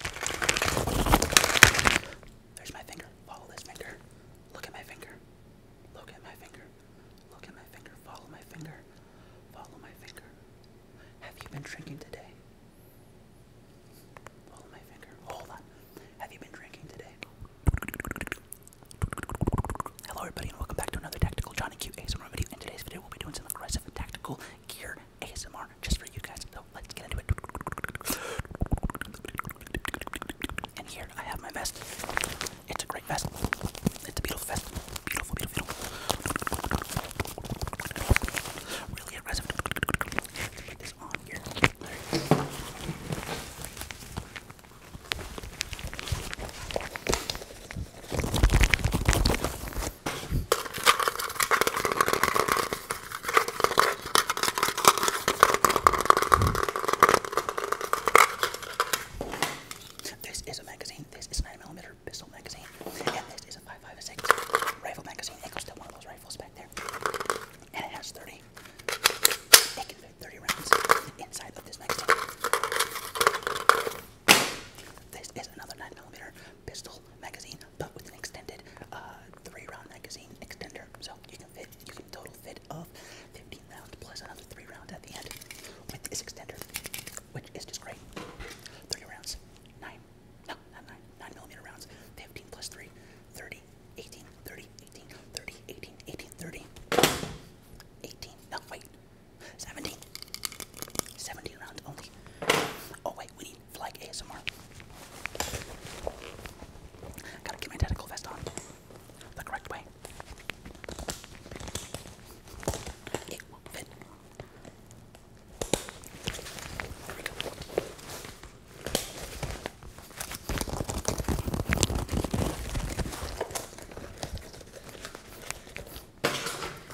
There's my finger. Follow this finger. Look at my finger. Look at my finger. Look at my finger. Follow my finger. Follow my finger. Have you been drinking today? Follow my finger. Hold on. Have you been drinking today? Hello, everybody, and welcome back to another Tactical Johnny Q ASMR video. In today's video, we'll be doing some aggressive tactical gear ASMR just for you guys. So let's get into it. And here I have my vest. It's a great vest. It's a beautiful vest. Beautiful, beautiful, beautiful. Really aggressive. this on here. This is a magazine. This is a 9mm pistol magazine. And this is a 5.56 rifle magazine. It goes to one of those rifles back there. And it has 30. It can fit 30 rounds inside of this magazine. This is another 9mm pistol magazine but with an extended uh, three-round magazine extender, so you can fit you can total fit of 15 rounds plus another three rounds at the end with this extender, which is just great. Three rounds, nine, no, not nine, nine millimeter rounds, 15 plus three, 30, 18, 30, 18, 30, 18, 18, 30, 18, no wait, 17, 17 rounds only. Oh wait, we need like ASMR. Gotta get my tentacle vest on the correct way. It will fit.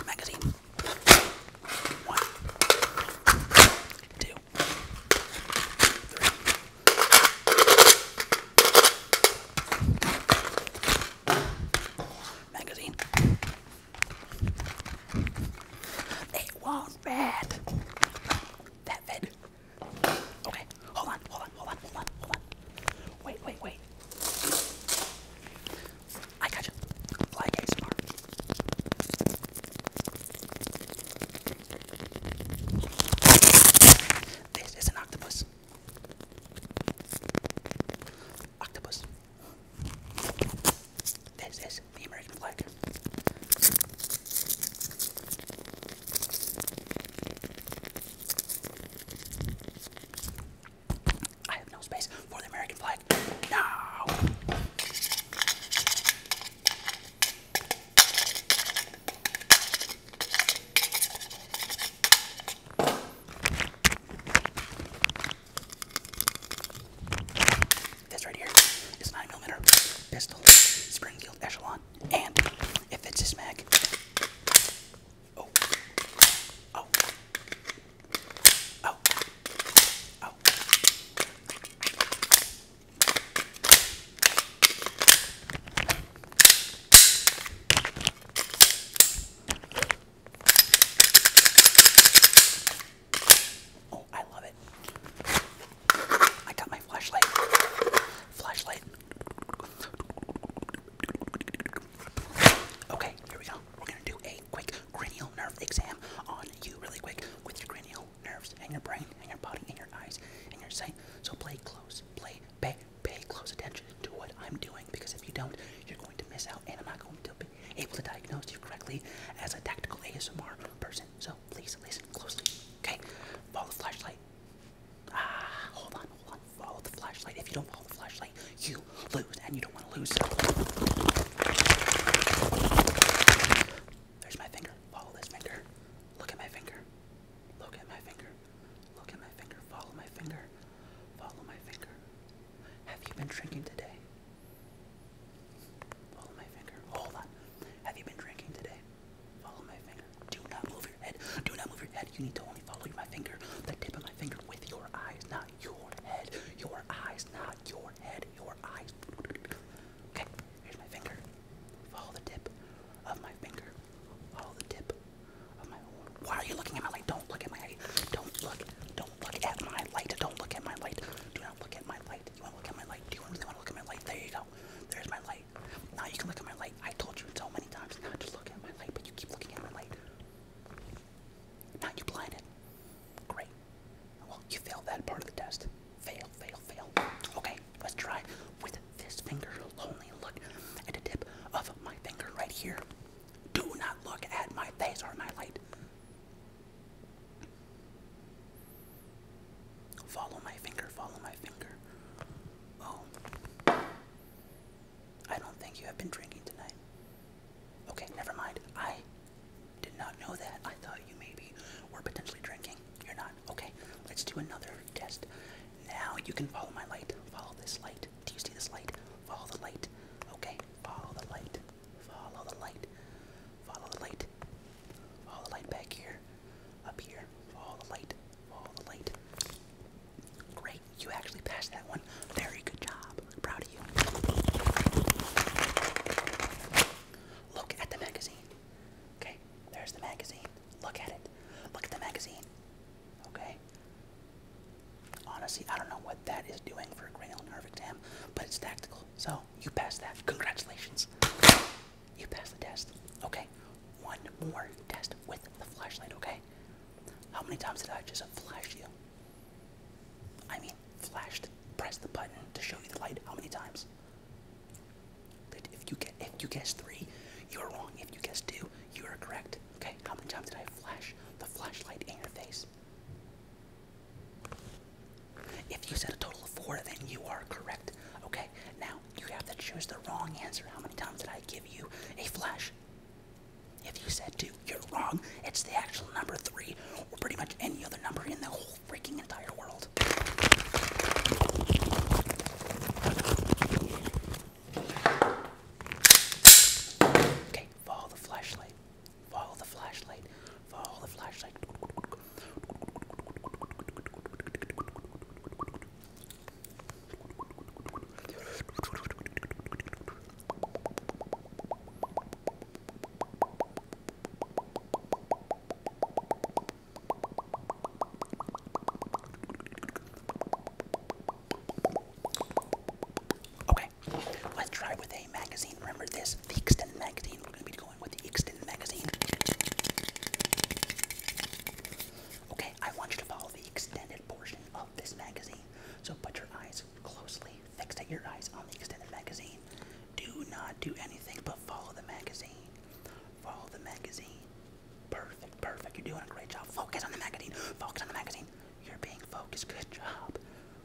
Magazine. One, two, three. Magazine. It was bad. That bed. Okay, hold on, hold on, hold on, hold on, hold on. Wait, wait, wait. I got you. Like ASMR. This is an octopus. Octopus. This is the American flag. I have no space for the American flag. No! This right here is 9mm pistol, Springfield Echelon, and it fits this mag. Oh, oh, Oh. I love it. I got my flashlight. Flashlight. Okay, here we go. We're gonna do a quick cranial nerve exam on you, really quick, with your cranial nerves and your brain and your body and your eyes and your sight. So play close, play, pay, pay close attention to what I'm doing because if you don't, you're going to miss out, and I'm not going to be able to diagnose you correctly as a tactical ASMR person. So please listen closely. Okay, follow the flashlight. Ah, hold on, hold on. Follow the flashlight. If you don't follow the flashlight, you lose, and you don't want to lose. There's my finger. Follow this finger. Look at my finger. Look at my finger. Look at my finger. Follow my finger. Follow my finger. Have you been drinking today? Follow my finger. Hold on. Have you been drinking today? Follow my finger. Do not move your head. Do not move your head. You need to only follow my finger. The tip of my finger with your eyes, not your head. Your eyes, not not your head, your eyes. Okay, here's my finger. Follow the tip of my finger. Follow the tip of my. Why are you looking at my light? Don't look at my light. Don't look. Don't look at my light. Don't look at my light. Do not look at my light. You want to look at my light? Do you really want to look at my light? There you go. There's my light. Now you can look at my light. I told you so many times not to look at my light, but you keep looking at my light. Now you blinded. Great. Well, you failed that part of the test. Fail, fail, fail. Okay, let's try with this finger. Only look at the tip of my finger right here. Do not look at my face or my light. Follow my finger, follow my finger. Oh. I don't think you have been drinking tonight. Okay, never mind. I did not know that. I thought you maybe were potentially drinking. You're not. Okay, let's do another test. Now you can follow my light. Follow this light. Do you see this light? Follow the light. Okay, follow the light. Follow the light. Follow the light. Follow the light back here. Up here. Follow the light. Follow the light. Great. You actually passed that one. Very good job. Proud of you. Look at the magazine. Okay, there's the magazine. Look at it. Look at the magazine. Okay? Honestly, I don't know what that is doing for a cranial nerve exam, but it's tactical. So, you passed that. Congratulations. You passed the test. Okay, one more test with the flashlight, okay? How many times did I just flash you? I mean, flashed, press the button to show you the light. How many times? if you get, if you guess three, you're wrong. If you guess two, you are correct. Okay, how many times did I flash the flashlight in your face? If you said a total of four, then you are correct. Okay, now you have to choose the wrong answer. How many times did I give you a flash? If you said two, you're wrong. It's the actual number three, or pretty much any other number in the whole freaking entire world. Okay, follow the flashlight. Follow the flashlight. Follow the flashlight. Okay, let's try with a magazine. Remember this, the extended magazine. We're going to be going with the extended magazine. Okay, I want you to follow the extended portion of this magazine. So put your eyes closely Fixed at your eyes on the extended magazine. Do not do anything but follow the magazine. Follow the magazine. Perfect, perfect. You're doing a great job. Focus on the magazine. Focus on the magazine. You're being focused. Good job.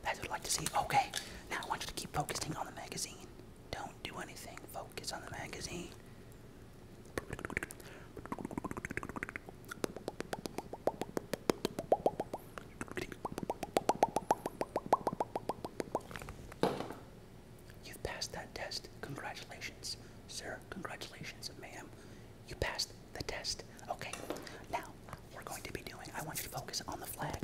That's what I'd like to see. Okay. Now I want you to keep focusing on the magazine. Don't do anything. Focus on the magazine. You've passed that test. Congratulations, sir. Congratulations, ma'am. You passed the test. Okay, now we're going to be doing, I want you to focus on the flag.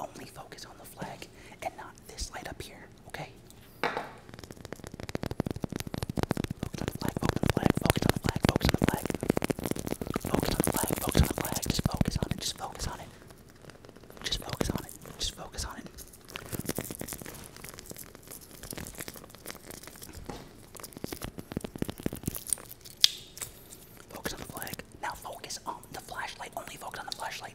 Only focus on the flag and not this light up here, okay? Focus on the flag, focus on the flag, focus on the flag, focus on the flag. Focus on the flag, focus on the flag, just focus on it, just focus on it. Just focus on it, just focus on it. Focus on the flag. Now focus on the flashlight. Only focus on the flashlight.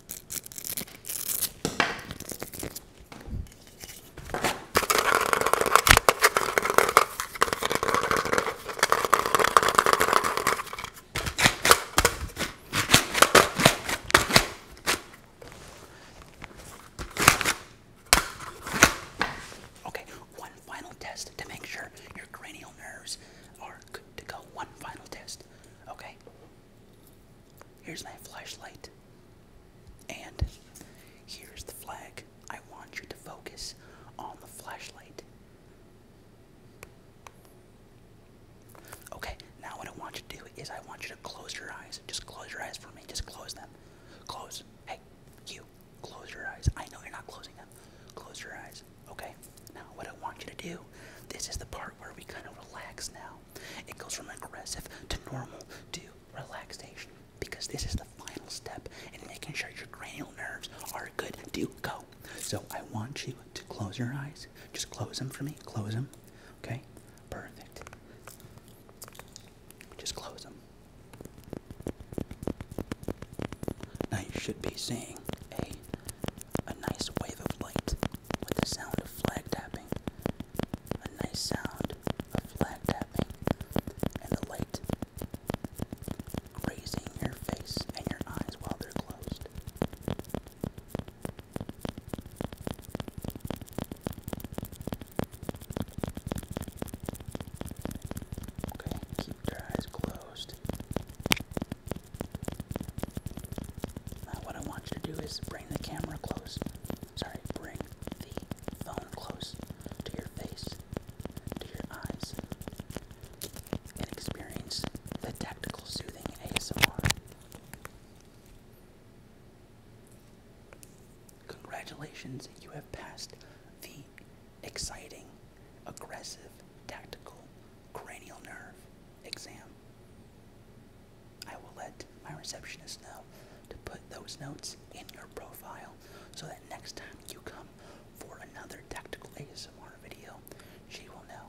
Okay, one final test to make sure your cranial nerves are good to go. One final test. Okay? Here's my flashlight. And here's the flag. I want you to focus on the flashlight. Okay, now what I want you to do is I want you to close your eyes. Just close your eyes for me. Just close them. Close. Hey, you. Close your eyes. I know you're not closing them. Close your eyes. Okay? Now, what I want you to do, this is the part where we kind of relax now. It goes from aggressive to normal to relaxation because this is the final step in making sure your cranial nerves are good to go. So I want you to close your eyes. Just close them for me. Close them. Okay? Perfect. Just close them. Now you should be seeing a a nice wave of light with the sound of flag tapping. A nice sound of flag tapping and the light grazing your face and your eyes while they're closed. Okay, keep your eyes closed. Now what I want you to do is bring the camera close. Sorry, bring the phone close to your face, to your eyes, and experience the tactical soothing ASMR. Congratulations, you have passed the exciting, aggressive, tactical cranial nerve exam. I will let my receptionist know to put those notes in your profile so that next time you come for another tactical ASMR video, she will know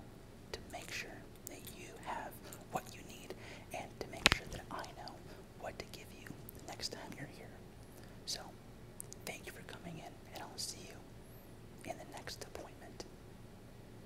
to make sure that you have what you need and to make sure that I know what to give you the next time you're here. So, thank you for coming in, and I'll see you in the next appointment.